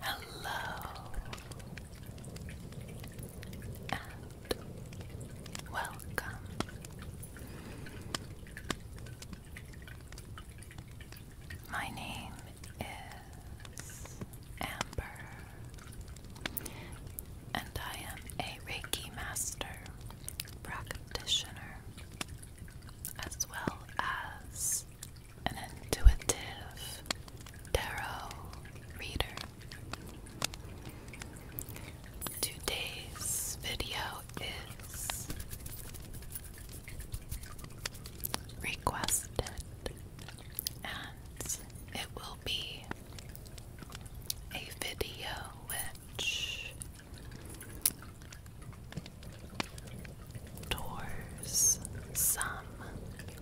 Hello and welcome. My name is Amber, and I am a Reiki master, practitioner, as well as an intuitive tarot reader. Today's video is requested and it will be a video which towards some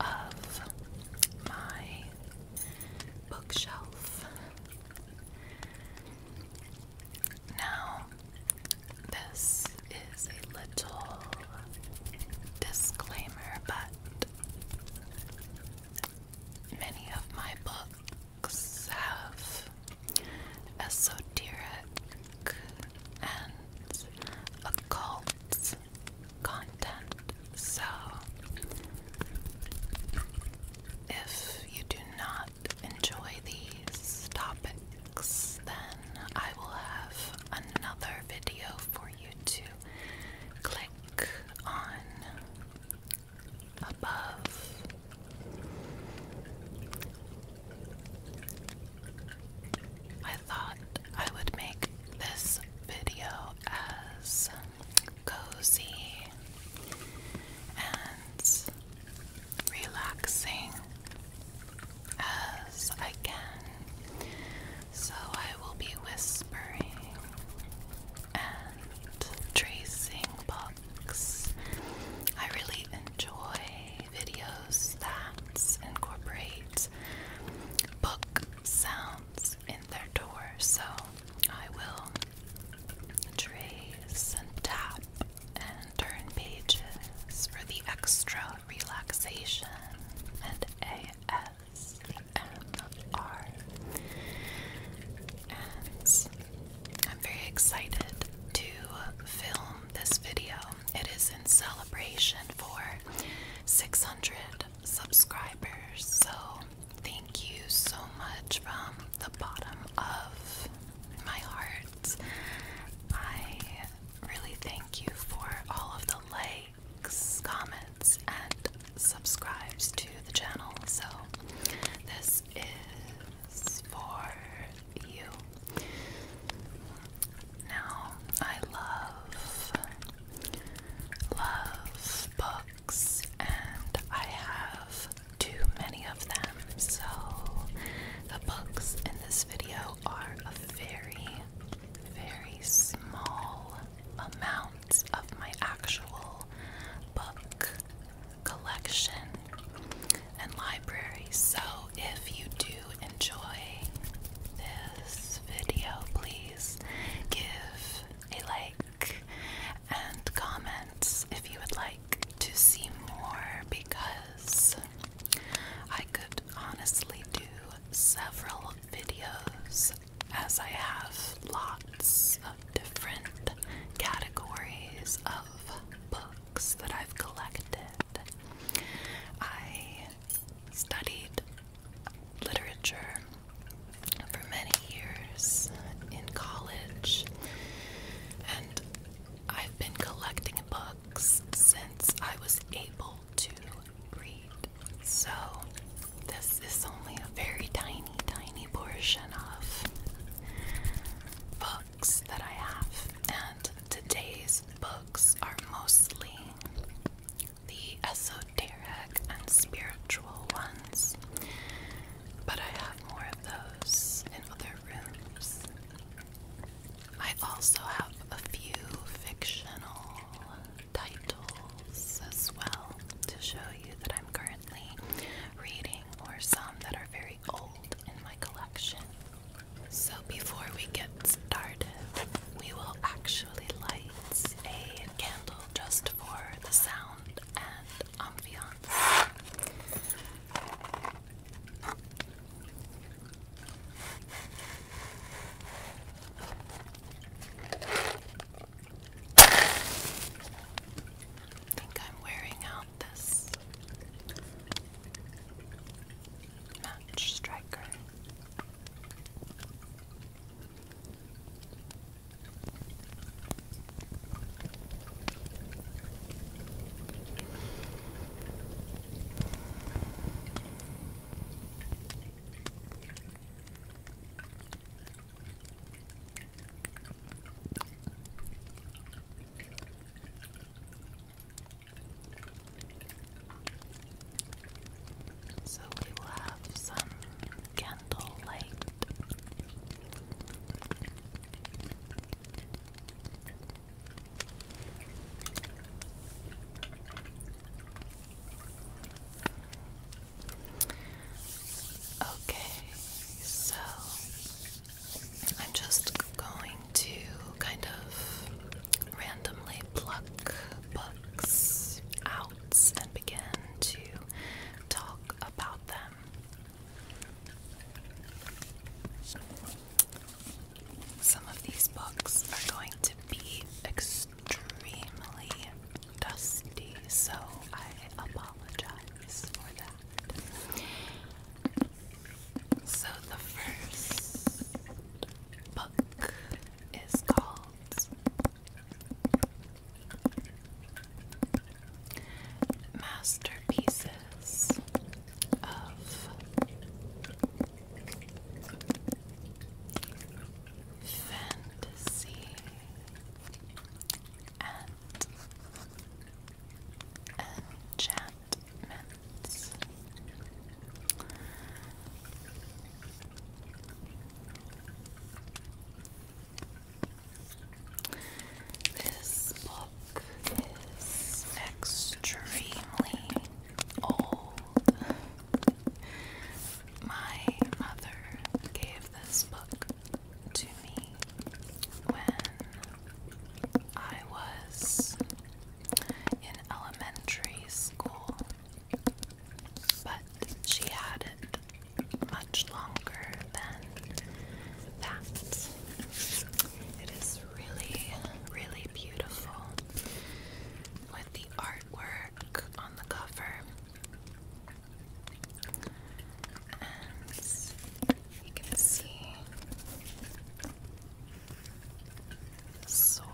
of my bookshelf. Now, this is a little disclaimer, but many of my books. Xav, esoteric, and occult content. So, if you do not enjoy these topics, then I will have another video for you to click on above. I thought I would make this video as cozy and relaxing as I can, so I will be whispering and tracing I really enjoy videos that incorporate book sounds in their door, so I will trace and tap and turn pages for the extra relaxation and ASMR. I'm very excited to film this video. It is in celebration for 600 subscribers, so thank you so much from the bottom of my heart. I really thank you for all of the likes, comments, and subscribes to the channel. So, this is for you. Now, I love, love books, and I have too many of them, so the books in this video are a very, very small amount of my actual book collection and library. So if you do enjoy this video, please give a like and comments if you would like to see more because I could honestly do several videos as I have lots different categories of books that I've collected. I studied literature for many years in college, and I've been collecting books since I was able to read. So, this is only a very tiny, tiny portion of books books that I have, and today's books are mostly the esoteric and spiritual ones, but I have more of those in other rooms. I also have a few fictional titles as well to show you that I'm currently reading or some that are very old in my collection. So before we get started, we will actually light a candle just for the sound and ambiance. think I'm wearing out this match striker. So we will have some candle Okay, so I'm just going to kind of randomly pluck books out and begin to talk about them. Some of these books are going to be extremely dusty, so I apologize for that. So the first book is called Masterpieces of Fantasy enchantments. This book is extremely old. My mother gave this book to me when I was in elementary school, but she had it much longer than that. It is really, really beautiful with the artwork on the cover you can see sword.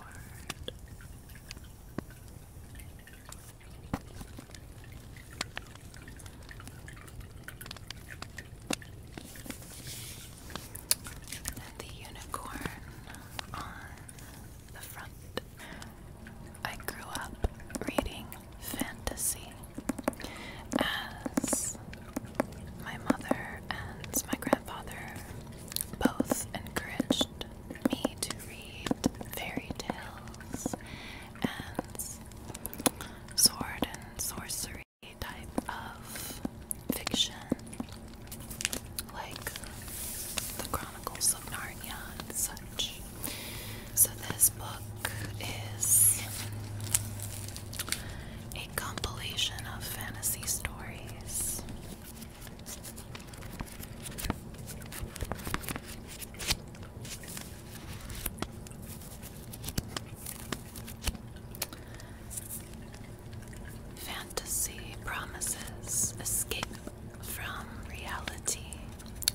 And the unicorn on the front. I grew up reading fantasy as my mother and my grandfather both encouraged me to read fairy tales and sword and sorcery type of fiction like the Chronicles of Narnia and such. So, this book is a compilation of fantasy stories. Fantasy promises escape from reality,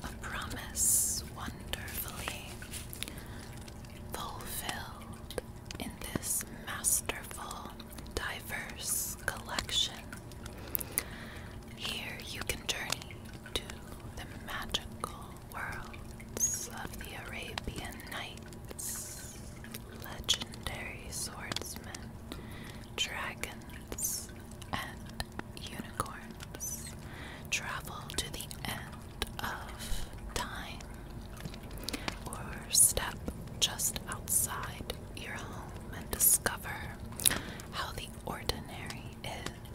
a promise wonderfully fulfilled in this masterful, diverse collection. Here you can journey to the magical worlds of the Arabian Nights, legendary swordsmen, dragons, and unicorns. Travel to the end of time or step just outside your home and discover how the ordinary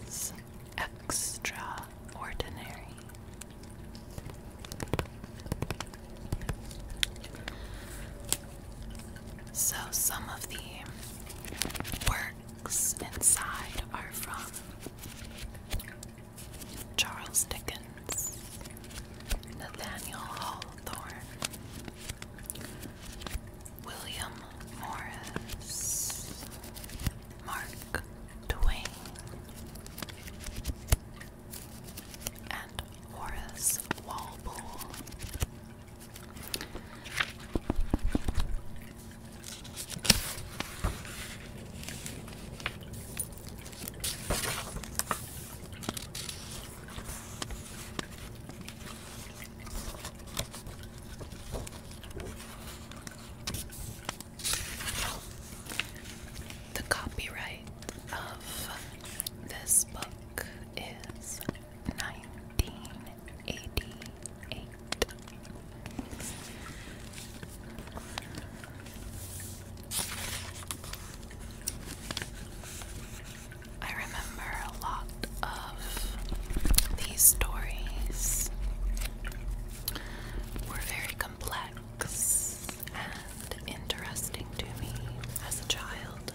is extraordinary. So, some of the works inside are from Charles Dickens, Nathaniel Hawthorne, William Morris, Mark Twain, and Horace Walpole. The copyright of this book is nineteen eighty eight. I remember a lot of these stories were very complex and interesting to me as a child.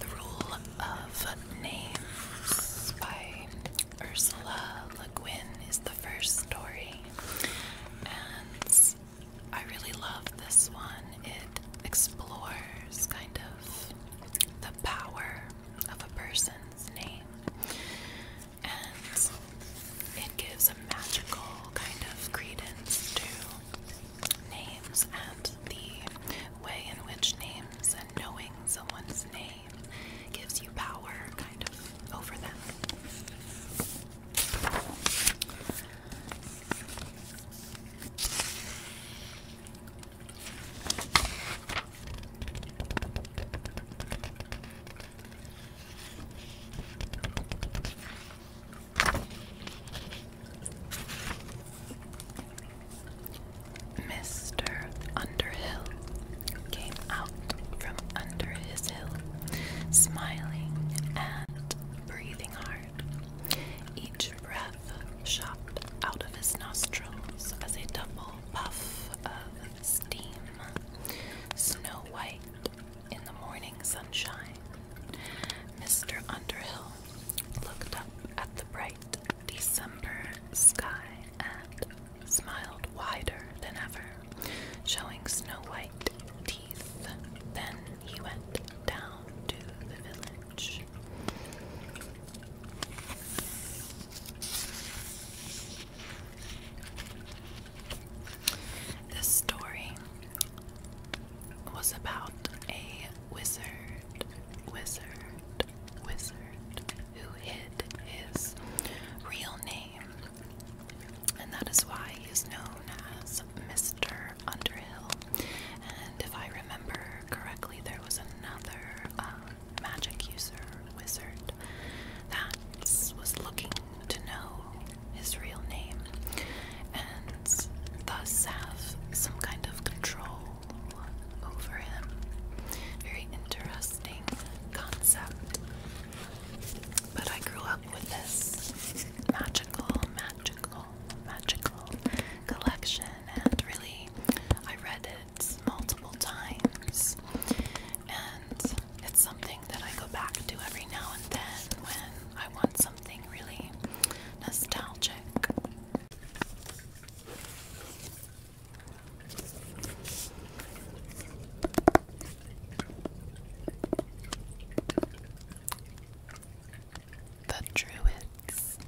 The Rule of Names by Ursula Le Guin is the first story, and I really love this one. It explores kind of the power of a person's name, and it gives a magical kind of credence to names and the way in which names and knowing someone's name gives you power kind of over them. Mr. Underhill came out from under his hill, smiling and breathing hard. Each breath shot out of his nostrils as a double puff of steam, snow white in the morning sunshine. Mr. Underhill looked up at the bright December sky and smiled wider than ever, showing snow white teeth. Then he went down to the village. This story was about a wizard, wizard wizard, who hid his real name, and that is why he is known as Mr. Underhill. And if I remember correctly, there was another um, magic user wizard that was looking to know his real name and thus have some kind of control over him. Very interesting concept. But I grew up with this magical, magical, magical collection, and really, I read it multiple times. And it's something that I go back to every now and then when I want something really nostalgic. The Druids.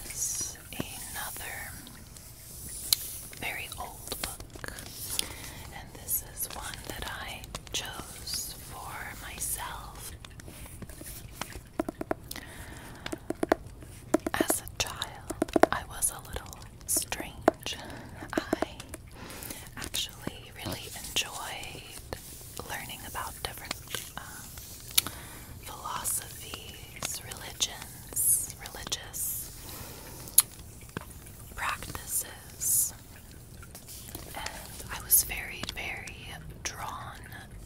This is another very old book. And this is one that I chose for myself. As a child, I was a little strange. I actually really enjoyed learning about different um, philosophies, religions, religious practices. I was very, very drawn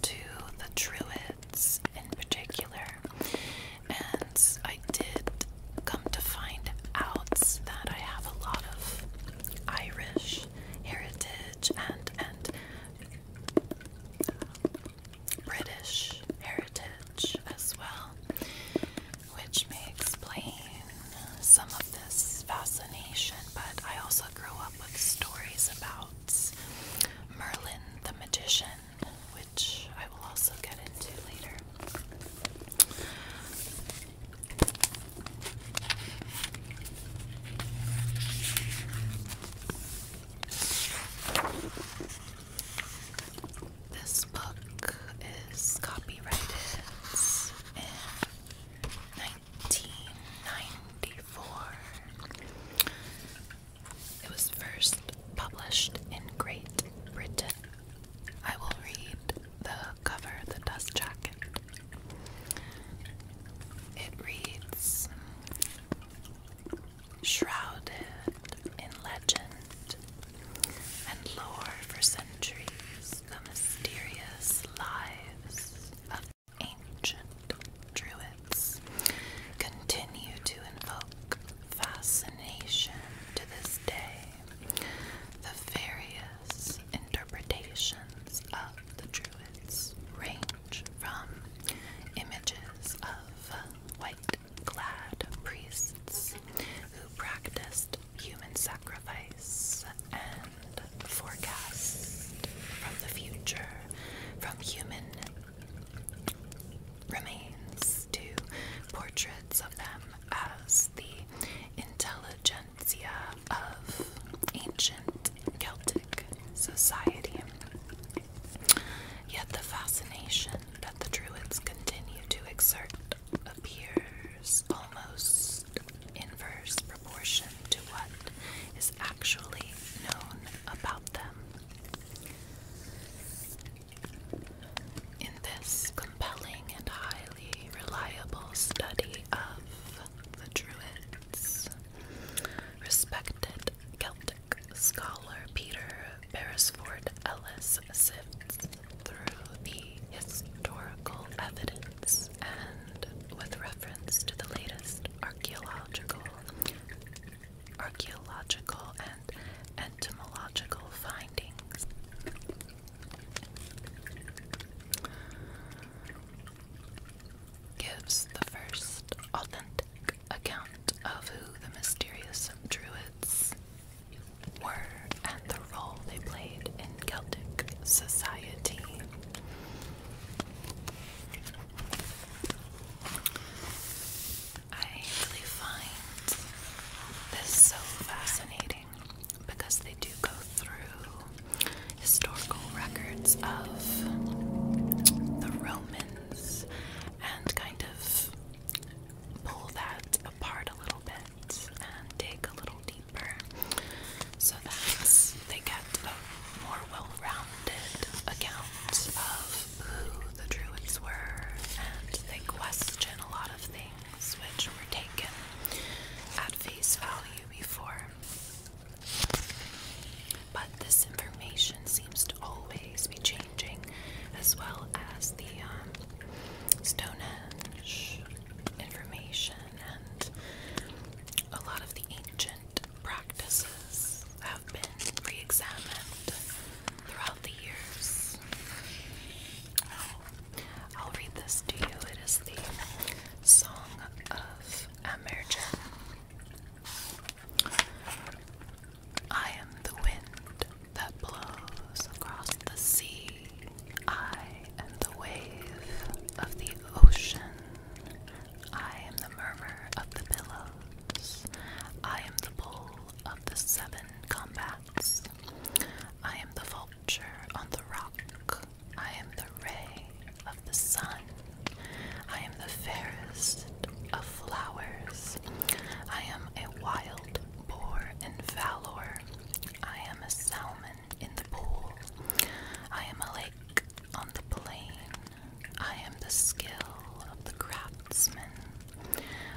to the Druids in particular. And I did come to find out that I have a lot of Irish heritage and and um, British heritage as well which may explain some of this fascination. But I also grew up with stories about Merlin the magician, which I will also get into later. This book is copyrighted in 1994. It was first published in Great Britain. I will read the cover, the dust jacket. It reads Shrouded in legend and lore for centuries, the mysterious lives of ancient druids continue to invoke fascination to this day. The various interpretations of the druids range from images of white clad priests who practiced human sacrifice sacrifice and forecasts from the future, from human remains to portraits of them as the intelligentsia of ancient Celtic society. Yet the fascination that the Druids continue to exert appears almost inverse proportion to what is actually known about them. In this compelling and highly reliable study of the Druids, respected Celtic scholar Peter Beresford Ellis sift through the historical evidence and with reference to the latest archaeological archaeological and entomological findings. Gives the first authentic account of who the mysterious druids were and the role they played in Celtic society. I really find this so fascinating because they do go through historical records of the Romans and kind of pull that apart a little bit and dig a little deeper so that they get a more well-rounded account of who the Druids were and they question a lot of things which were taken at face value before. But this information seems to always be changing, as well as the um, Stone Age information and a lot of the ancient practices have been re examined throughout the years. Oh, I'll read this to you. It is the Song of Amergen. I am the wind that blows across the sea. I am the wave of the ocean. I am the murmur of the billows. I am the bull of the seven combats. I am the vulture on the rock. I am the ray of the sun. I am the fairest of flowers. I am a wild boar in valor. I am a salmon in the pool. I am a lake on the plain. I am the skill of the craftsman.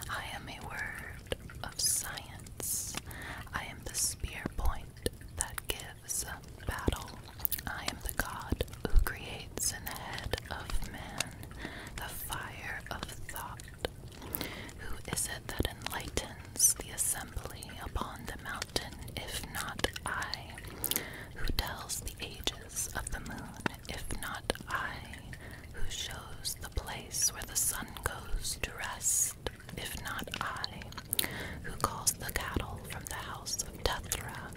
I am a word of science. I am the spear point that gives battle. I am the god who creates in the head of man the fire of thought. Who is it that enlightens the assembly upon the mountain, if not I? Who tells the ages of the moon, if not I? Who shows the place where the sun goes to rest, if not I? Who calls the cattle from the house of Tethra?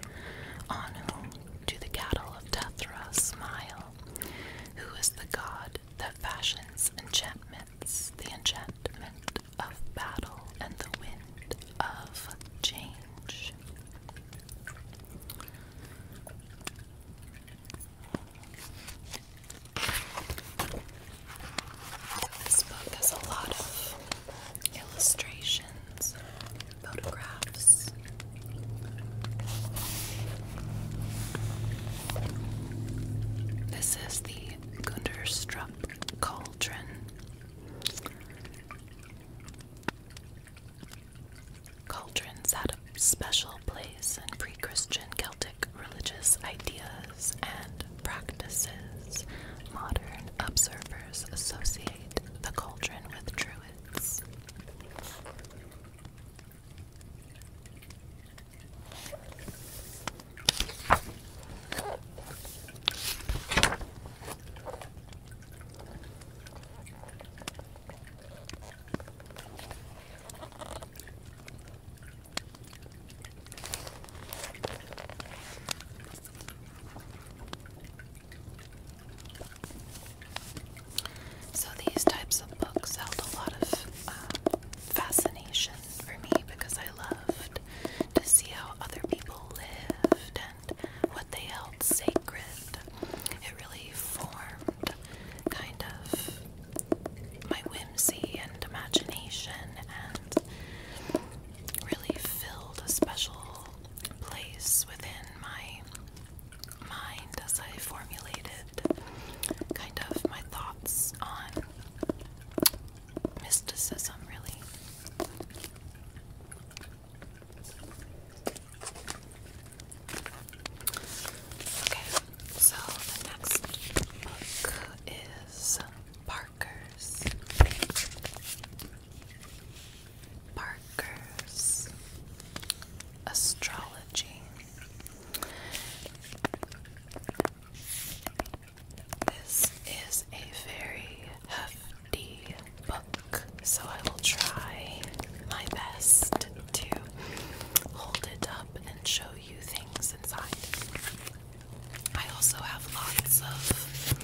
On whom do the cattle of Tethra smile? Who is the god the that fashion's enchantments, the enchantment of battle and the wind of change. This book has a lot of illustrations, photographs. This is the Gunderstrup cauldron. Cauldrons had a special place in pre Christian Celtic religious ideas and practices. Modern observers associate the cauldron with druids. So these types of books held a lot of uh, fascination for me because I loved to see how other people lived and what they held sacred. It really formed kind of my whimsy and imagination and really filled a special place within my mind as I formulated kind of my thoughts on mysticism, really. Okay, so the next book is Parker's. Parker's Astrology. This is a very hefty book, so I will try my best to hold it up and show you things inside. I also have lots of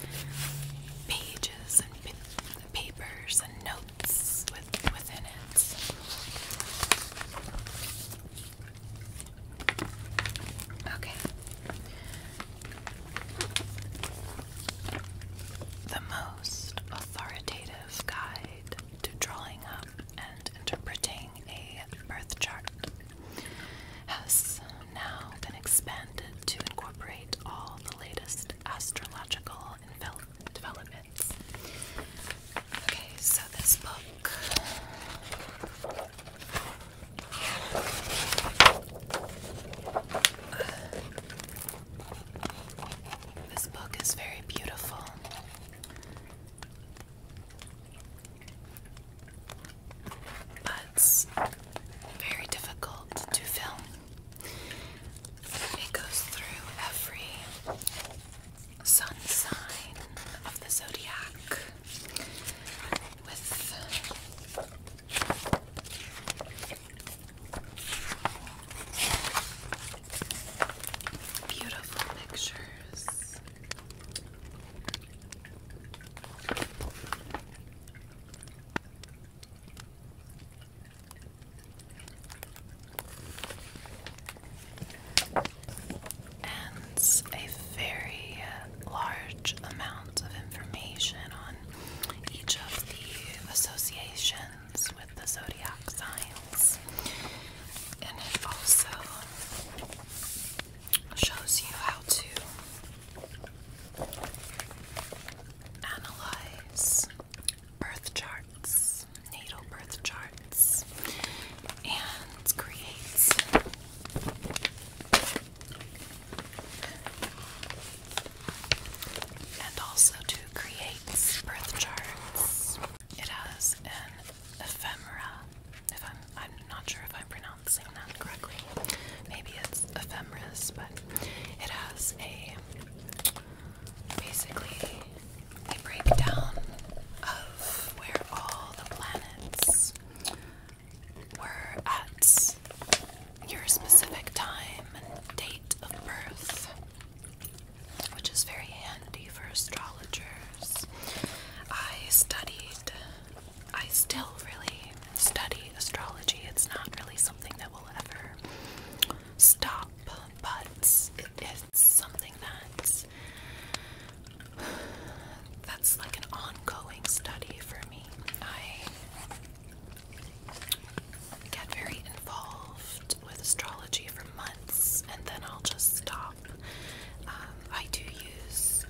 pages and papers and notes with, within it. Okay. The most authoritative guide to drawing up and interpreting a birth chart has now been expanded to incorporate all the latest astrological developments. Okay, so this book. this book is very beautiful. But very difficult to film. It goes through every sun sign of the zodiac with beautiful pictures and a very uh, large amount of information on each of the associations with the zodiac signs. And it also shows you how to analyze birth charts natal birth charts and creates and also to create birth charts. It has an ephemera. If I'm I'm not sure if I'm pronouncing that correctly. Maybe it's ephemeris, but it has a basically a breakdown of where all the planets were at your specific time and date of birth, which is very handy for astrologers. I studied, I still really study astrology. It's not really something that will ever stop, but it is something that that's like an ongoing study for me. I get very involved with astrology for months and then I'll just stop. Um, I do use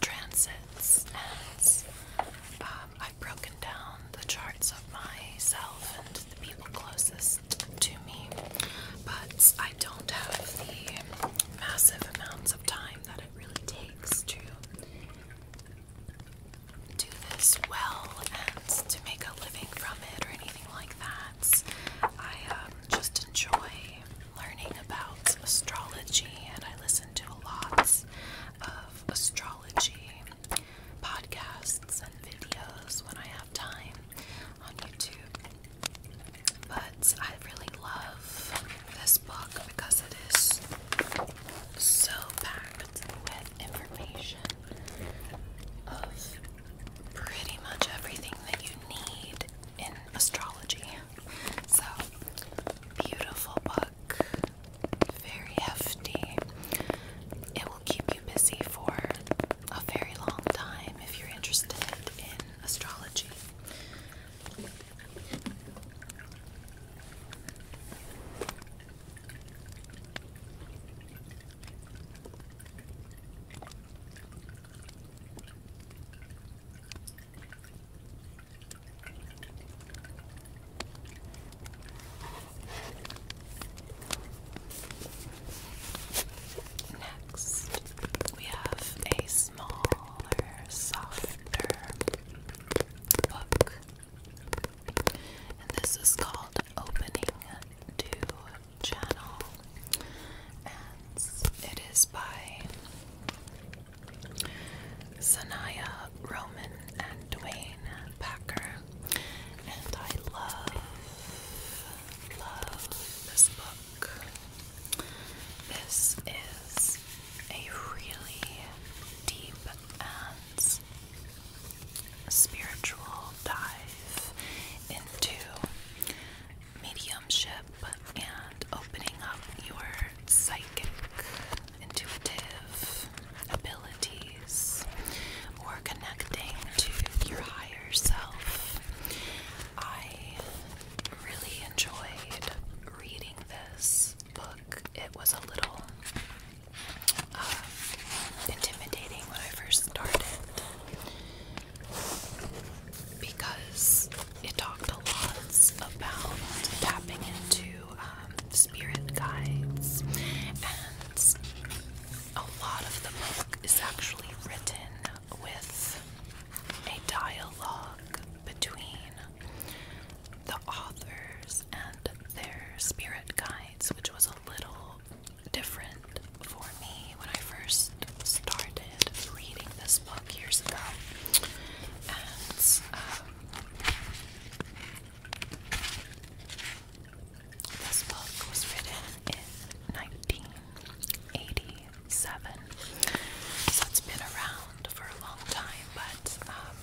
transits and um, I've broken down the charts of myself and the people closest to me, but I don't have the massive amounts of time that it really takes to do this well and to make a living from it or anything like that. I um, just enjoy learning about astrology and I listen to a lot of astrology podcasts and videos when I have time on YouTube. But I really love this book because it is so packed with information of pretty much everything that you need in astrology. So, beautiful book, very hefty. It will keep you busy for a very long time if you're interested in astrology. Next, we have a smaller, softer book, and this is called Opening to Channel, and it is by Sanaya Roman and Dwayne Packer, and I love, love this book. This is a really deep and spiritual dive into mediumship and opening up your psychic, intuitive abilities or connecting to your higher yourself. I really enjoyed reading this book. It was a little uh, intimidating when I first started because it talked a lot about tapping into um, spirit guides, and a lot of the book is actually written with a dialogue between the authors and their spirit guides, which was a little different for me when I first started reading this book years ago. And um, this book was written in 19 1987. So has been around for a long time, but um,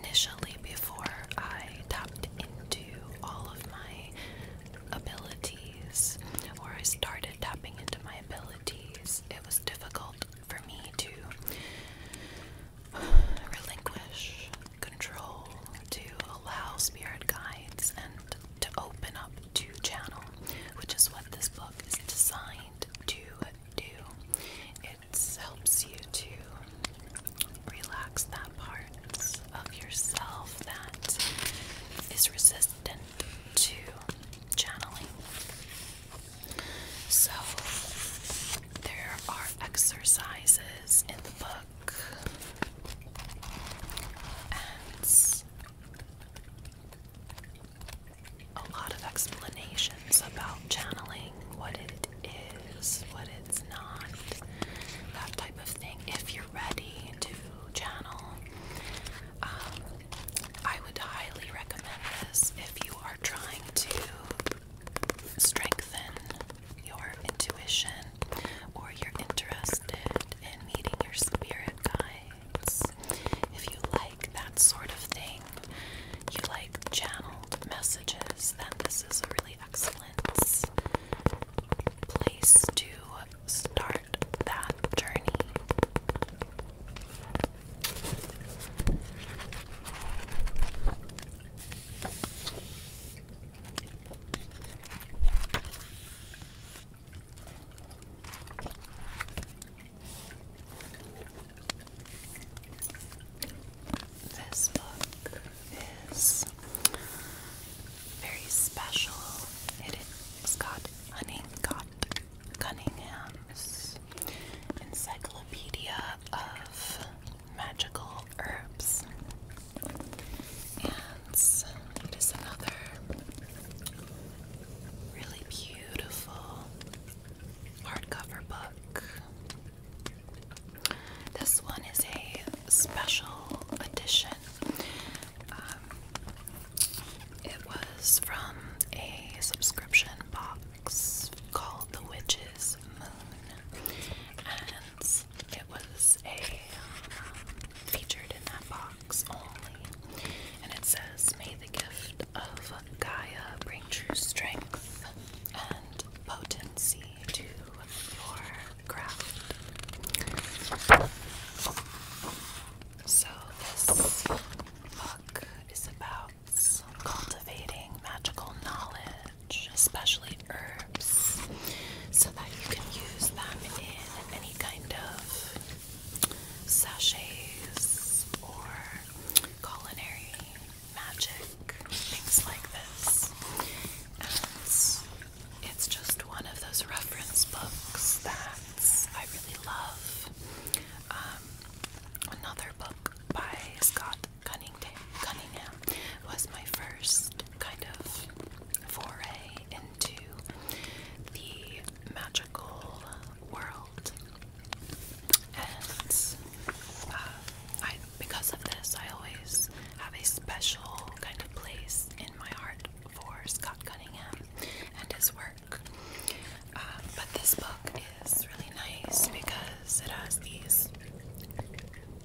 initially, before I tapped into all of my abilities, or I started tapping into my abilities, it was difficult for me to relinquish control, to allow spirit guides and to open up to channel, which is what this book is designed to do. It helps you to relax that part of yourself that is resistant to channeling. So, there are exercises in the book it's a lot of explanations about channeling, what it is, what it's not, that type of thing. If you're ready to channel, um, I would highly recommend this if you are trying to strengthen your intuition or you're interested in meeting your spirit guides, if you like that sort of thing, you like channeled messages, then this is a really excellent place to start that journey. This book is very special. It is got Honeycott Cunningham's Encyclopedia of Magical Herbs. And it is another really beautiful hardcover book. This one is a special edition. Um, it was from a subscription box called The Witch's Moon. And it was a um, featured in that box only, and it says, "May the gift of Gaia bring true strength and potency to your craft." So this book is about cultivating magical knowledge, especially herbs so that you can use them in any kind of sachets or culinary magic, things like this. it's just one of those reference books that I really love. Um, another book by Scott Cunningham was my first kind of foray into the magical world. And uh, I, because of this, I always have a special kind of place in my heart for Scott Cunningham and his work. Uh, but this book is really nice because it has these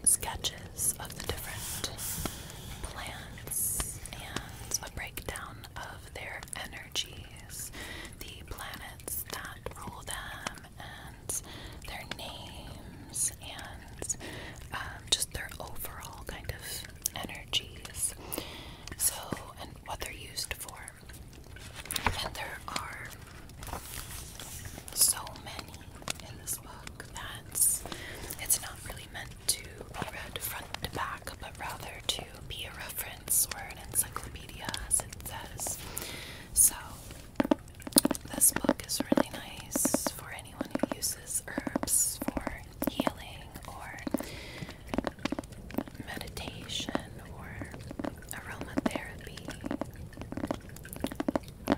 sketches of the different planets and a breakdown of their energies, the planets that rule them, and their names, and um, just their overall kind of energies. So, and what they're used for. And there are so many in this book that it's not really really meant to be read front to back, but rather to be a reference or an encyclopedia, as it says. So, this book is really nice for anyone who uses herbs for healing or meditation or aromatherapy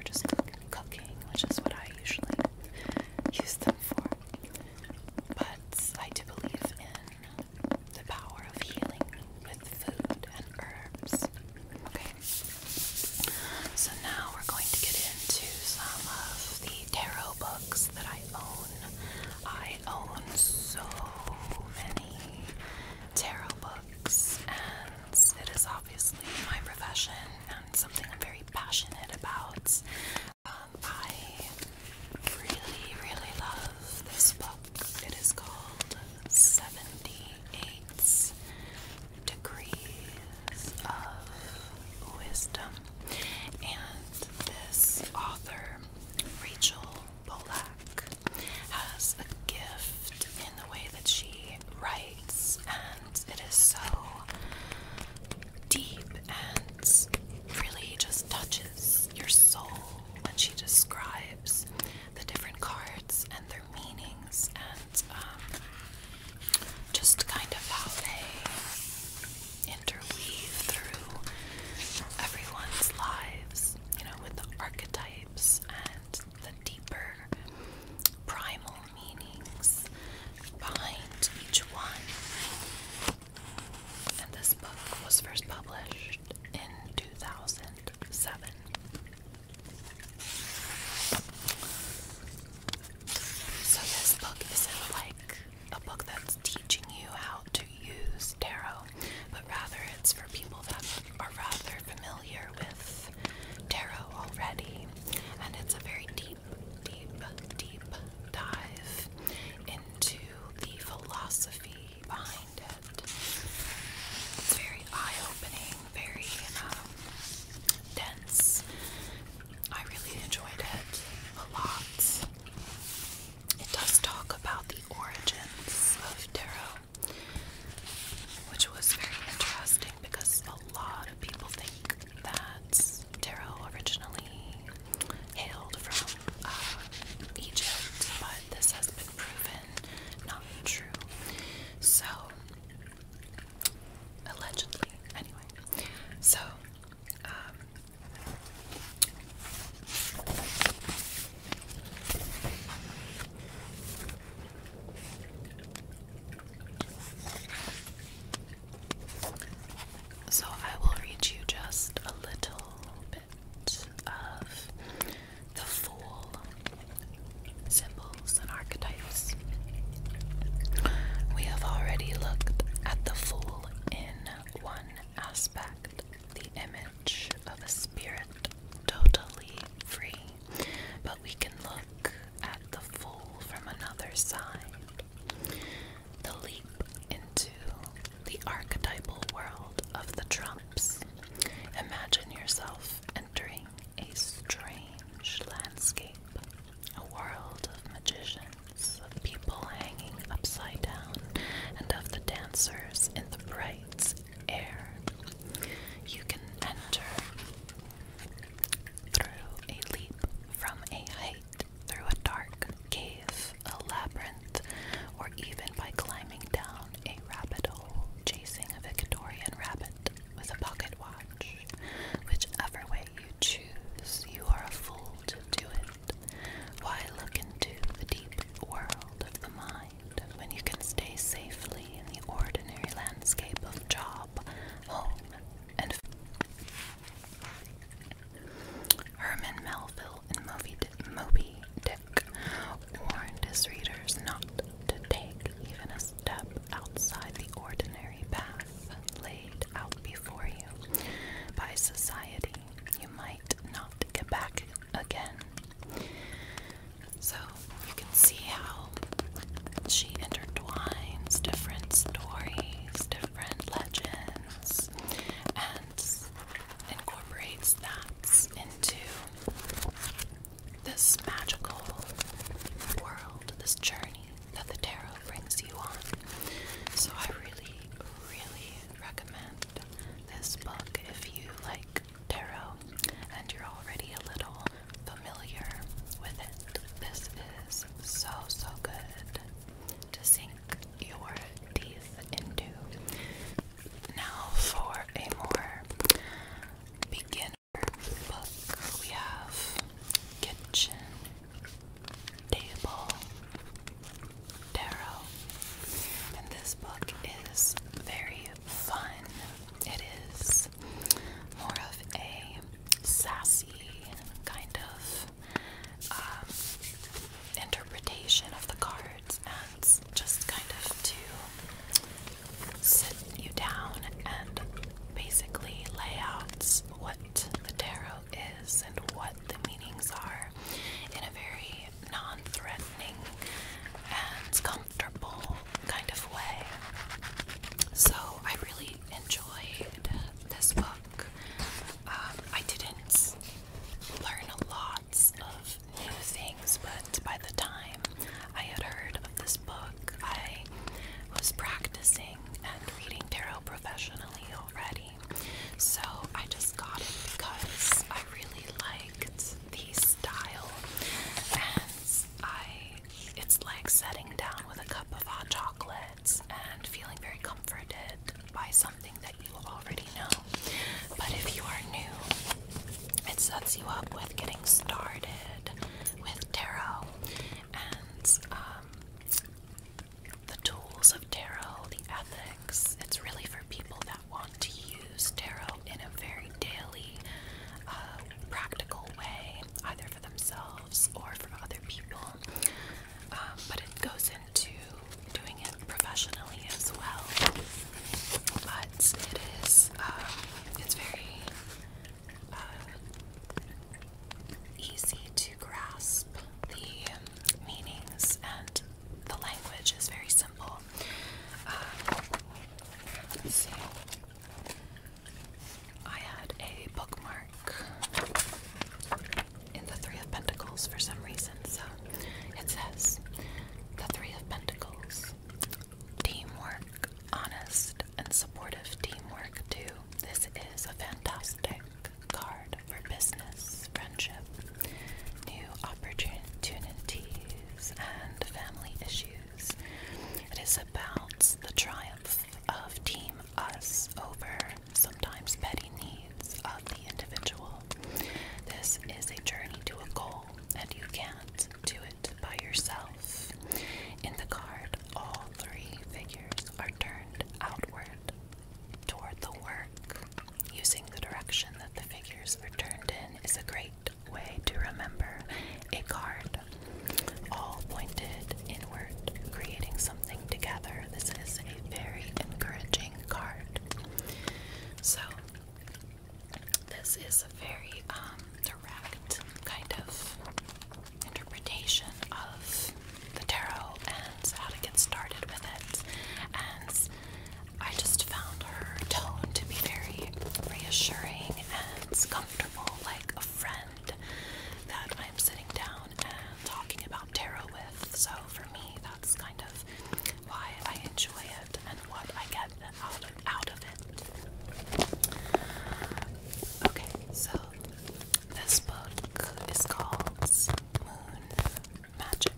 just cooking, which is what I usually use them for. But I do believe in the power of healing with food and herbs. Okay, so now we're going to get into some of the tarot books that I own. I own so many tarot books, and it is obviously my profession and something I'm very passionate about. Um, I really, really love this book. It is called 78 Degrees of Wisdom. And this author, Rachel Bolak, has a gift in the way that she writes and it is so deep and really just touches your soul when she describes the different cards and their meanings and um, just kind of how they interweave through everyone's lives, you know, with the archetypes and the deeper primal meanings behind each one. And this book was first published in 2007. So, this book isn't like a book that's teaching you how to use tarot, but rather it's for people that are rather familiar with tarot already. And it's a very deep deep, deep, dive into the philosophy behind it. It's very eye opening, very um, dense. I really enjoyed it a lot. It does talk about the origins of tarot, which was very interesting because a lot of people think that tarot originally hailed from uh, Egypt, but this has been proven not true. So, allegedly, anyway. So, um, so I will read you just a little bit of the full symbols and archetypes. We have already looked at the fool in one aspect, the image of a spirit totally free, we can look at the fool from another side. The leap into the archetypal world of the trumps. Imagine yourself entering a strange landscape, a world of magicians, of people hanging upside down, and of the dancers in the bright air. You can enter through a leap from a height, through a dark cave, a labyrinth, or even by climbing down a rabbit hole, chasing a Victorian rabbit with a pocket watch. Whichever way you choose, you are a fool to do it. Why look into the deep world of the mind when you can stay safely in the ordinary landscape of job, home, and Herman Melville in Moby, Dick warned his readers not to take even a step outside the ordinary path laid out before you by society. You might not get back again. So see how she intertwines different stories, different legends, and incorporates that into this magical world, this journey that the tarot brings you on. So I really, really recommend this book if you like tarot and you're already a little familiar with it. This is so, so good to sink your teeth into. Now, for a more beginner book, we have Kitchen Table Tarot. And this book is very fun. It is more of a sassy kind of um, interpretation of the cards and just kind of to sit you down and basically lay out what the tarot is and what the meanings are in a very non threatening and comfortable kind of way. So I really enjoyed this book. Um, I didn't learn a lot of new things, but by the time I had heard of this book, I was practicing and reading tarot professionally already. So I just got it because I really liked the style and I it's like sitting down with a cup of hot chocolates and feeling very comforted by something that you already know. But if you are new, it sets you up with getting started with tarot and um, the tools of tarot, the ethics. It's really for people that want to use tarot in a very daily, uh, practical way, either themselves or for other people. Um, but it goes into doing it professionally as well. But it is, um, it's very uh, easy to grasp the meanings, and the language is very simple. Um, I had a bookmark in the Three of Pentacles for some reason, so it says the Three of Pentacles. Teamwork, honest, and supportive teamwork, too. This is a fantastic card for business, friendship, new opportunities, and family issues. It is about the triumph of Team Us over sometimes petty needs of the individual. This is a journey to a goal, and you can't do it by yourself. In the card, all three figures are turned outward toward the work. Using the direction that the figures are turned in is a great way to remember a card all pointed inward, creating something together. This is a very encouraging card. So, this is a very um, direct kind of interpretation of the tarot and how to get started with it. And I just found her tone to be very reassuring and comfortable, like a friend that I'm sitting down and talking about tarot with. So for me, that's kind of why I enjoy it and what I get out of, out of it. Okay, so this book is called Moon Magic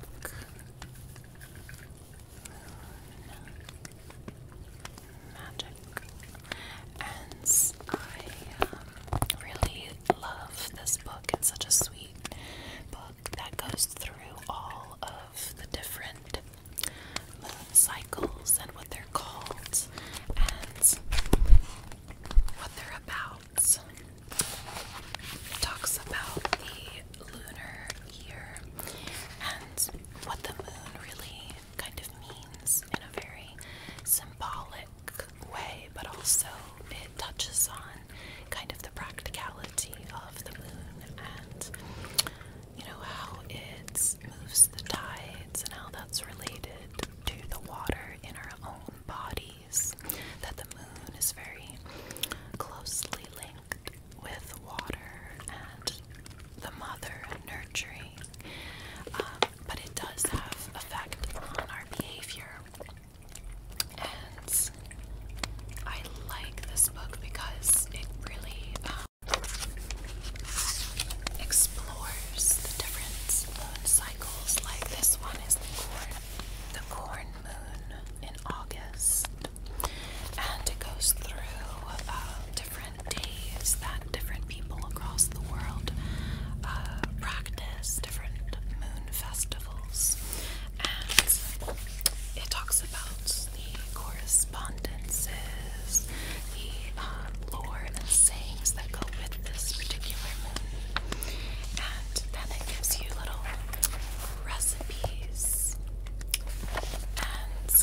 magic. And I um, really love this book. It's such a sweet book that goes through all of the different uh, cycles and what they're called and what they're about. talks about the lunar year and what the moon really kind of means in a very symbolic way, but also it touches on kind of the practicality of the moon and you know how it moves the tides and how that's related to the water in our own bodies. That the moon is very closely linked with water and the mother nurturing. Um, but it does have effect on our behavior. And I like this book because it really um, explores the different moon cycles. Like this one is the corn, the corn moon in August, and it goes through uh, different days that different people across the world uh, practice, different moon festivals, and it talks about the correspondences, the um, lore and sayings that go with this particular moon, and then it gives you little recipes and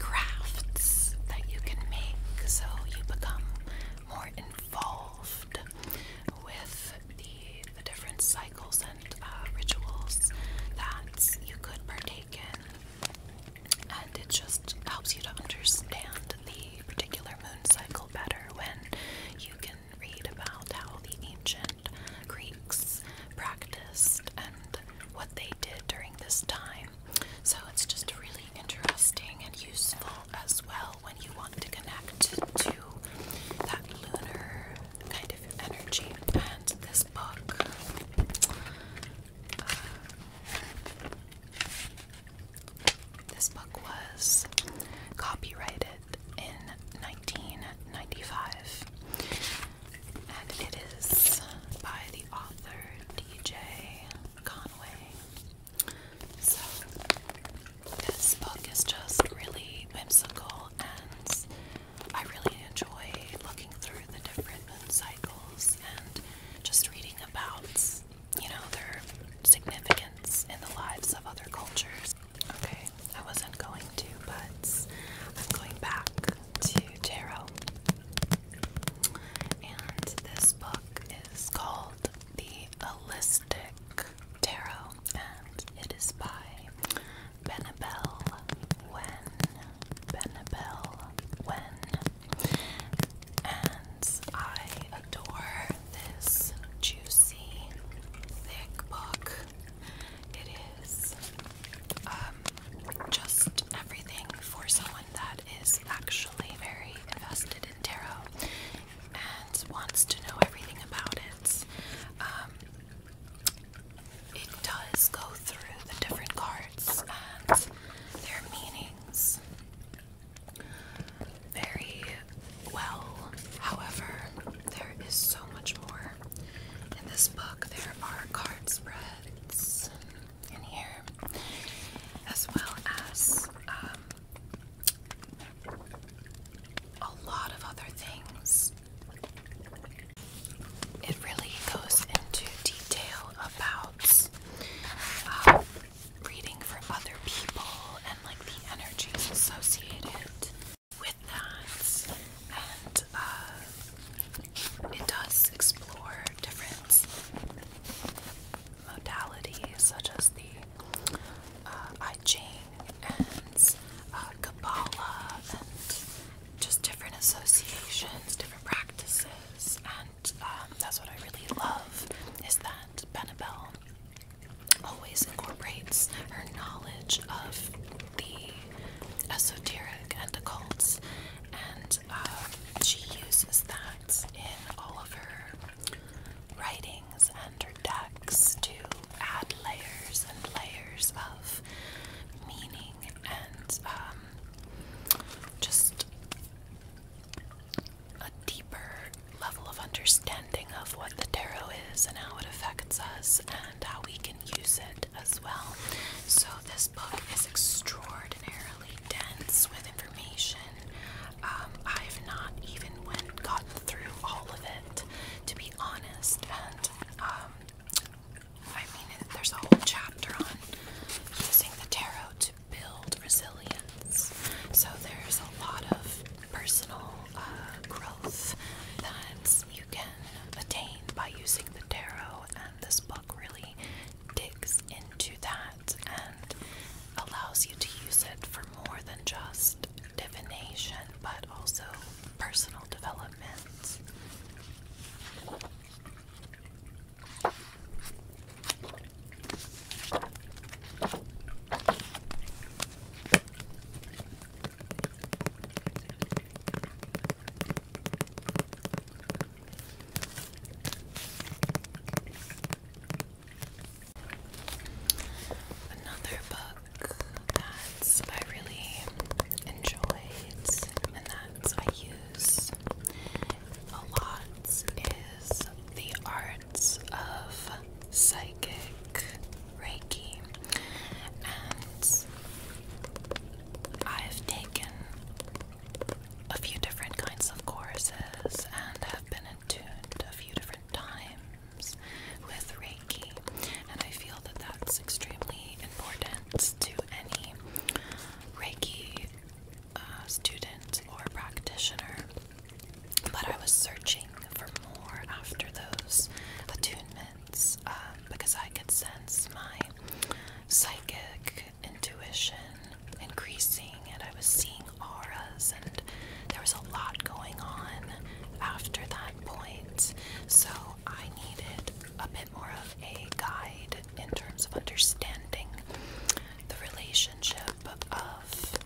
crafts that you can make so you become more involved with the, different cycles and uh, rituals that you could partake in. And it just helps you to understand the particular moon cycle better when you can read about how the ancient Greeks practiced and what they did during this time so it's just really interesting and useful as well when you want to connect to that lunar kind of energy. And this book uh, this book was copyrighted in 1995 and it is by the author DJ Conway. So, this book is just really whimsical, and I really enjoy looking through the different moon cycles and just reading about, you know, their significance in the lives of other cultures. Okay, I wasn't going to, but I'm going back to tarot. And this book is called The Holistic Tarot, and it is by Benabel Wen. Benabel Wen. And I adore this juicy, thick book. It is um, just everything for someone that is actually very invested in tarot and wants to know everything about it. Um, it does go through the different cards and their meanings very well. However, there is so much more in this book. There are card spreads, in here, as well as um, a lot of other things. It really goes into detail about um, reading for other people and like the energies associated with that, and uh, it does explore different modalities such as the uh, I Ching and uh, Kabbalah and just different associations, different practices, and um, that's what I really love is that Benabel always incorporates her knowledge of the esoteric and occult and uh, she uses that in all of her writings and her decks to add layers and layers of meaning and um, just a deeper level of understanding of what the tarot is and how it affects us and how we can use it as well. So, this book is extraordinary extraordinarily dense with information. Um, I've not even went gotten through all of it, to be honest. And um, I mean, there's a whole chapter on using the tarot to build resilience. So there's a lot of personal uh, growth that you can attain by using the tarot, and this book really digs into that and allows you to use it for more than just divination but also personal development. Another book that I really enjoyed and that I use a lot is The Arts of Psychic Reiki. And I've taken a few different kinds of courses, and have been in tuned a few different times with Reiki. And I feel that that's extremely important to any Reiki uh, student or practitioner. But I was searching for more after those attunements um, because I could sense my psychic intuition increasing and I was seeing auras and there was a lot going on after that point. So I needed a bit more of a guide in terms of understanding the relationship of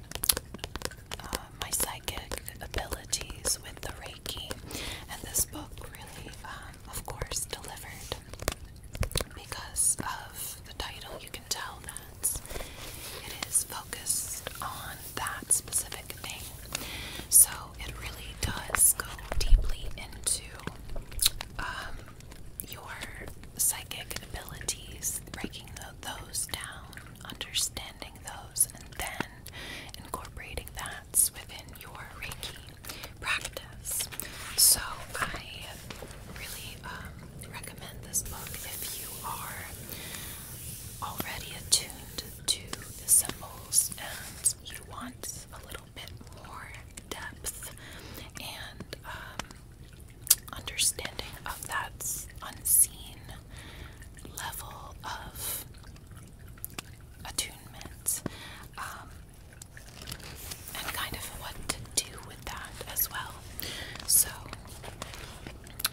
uh, my psychic abilities with the Reiki. And this book really, um, of course, delivered because of the title, you can tell that it is focused on that specific thing. So it really does go deeply into um, your psychic abilities, breaking those down, understanding those, and then incorporating that within your Reiki practice. So I really um, recommend this book if you are already attuned to the symbols and you want a little bit more depth and um, understanding of that unseen level of attunement. Um, and kind of what to do with that as well. So,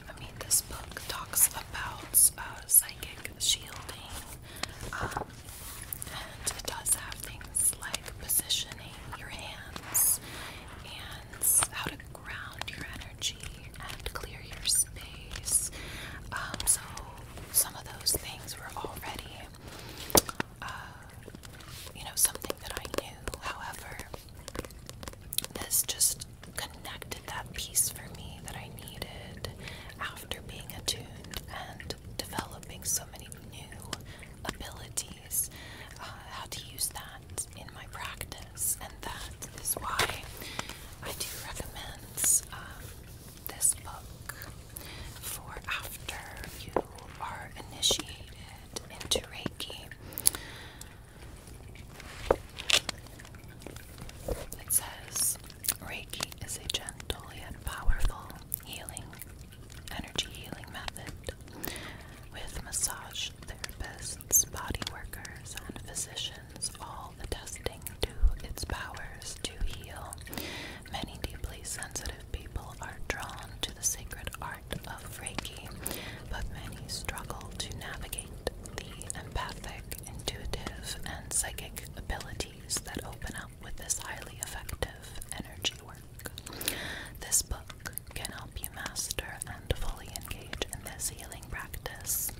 I mean, this book talks about uh, psychic shielding, um, and it does have things like positioning your hands and how to ground your energy and clear your space. Um, so, some of those things were already uh, you know, something that I knew. However, this just connected that piece for me that I needed after being attuned and developing so many new abilities, uh, how to use that in my practice, and that is why I do recommend um, this book for after you are initiated into Reiki. It says Reiki is a gentle yet powerful healing, energy healing method with massage therapists, body workers, and physicians all testing to its powers to heal Many deeply sensitive people are drawn to the sacred art of Reiki, but many struggle to navigate the empathic, intuitive, and psychic abilities that open up with this highly effective energy work. This book can help you master and fully engage in this healing practice.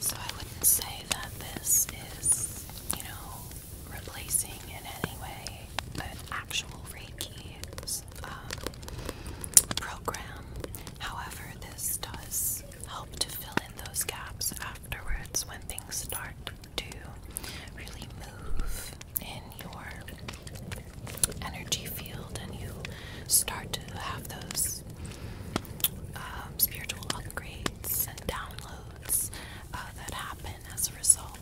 So I wouldn't say that this is, you know, replacing in any way but actual Reiki um, program. However, this does help to fill in those gaps afterwards when things start to really move in your energy field and you start to have those um, spiritual upgrades and downloads uh, that happen as a result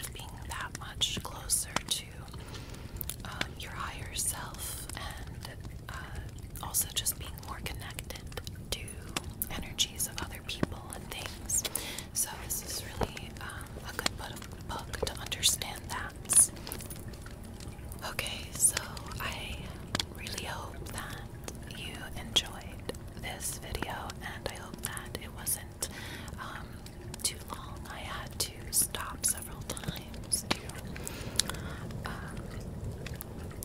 of being that much closer to um, your higher self and uh, also just being more connected to energies of other people and things. So, this is really um, a good book to understand that. Okay, so I really hope that you enjoyed this video, and I hope that it wasn't um, too long. I had to stop several times to um,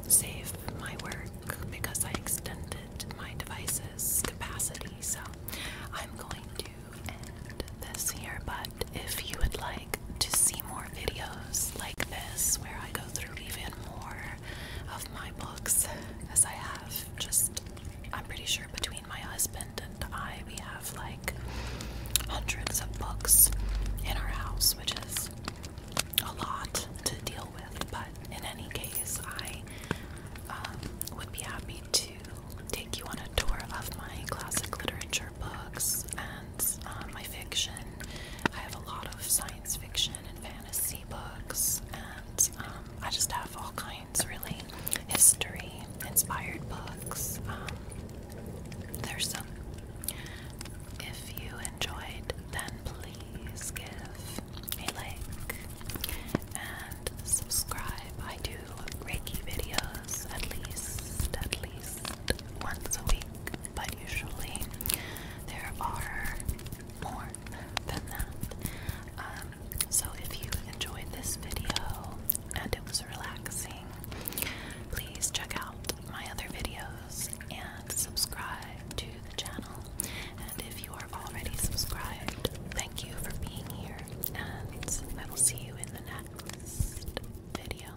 save my work because I extended my device's capacity. So I'm going to end this here, but if you would like to see more videos like this where I go through even more of my books, as I have just, I'm pretty sure between my husband and I, we have like hundreds of books in our house, which is a lot to deal with. But in any case, I um, would be happy to take you on a tour of my classic literature books and uh, my fiction. I have a lot of science fiction and fantasy books, and um, I just have all kinds really history inspired books. Um, there's some. If you enjoyed, then please give me a like and subscribe. I do Reiki videos at least, at least once a week, but usually there are more than that. Um, so if you enjoyed this video and it was relaxing, please check out my other videos and subscribe to the channel. And if you are already subscribed, thank you for being here, and I will see you in the next video.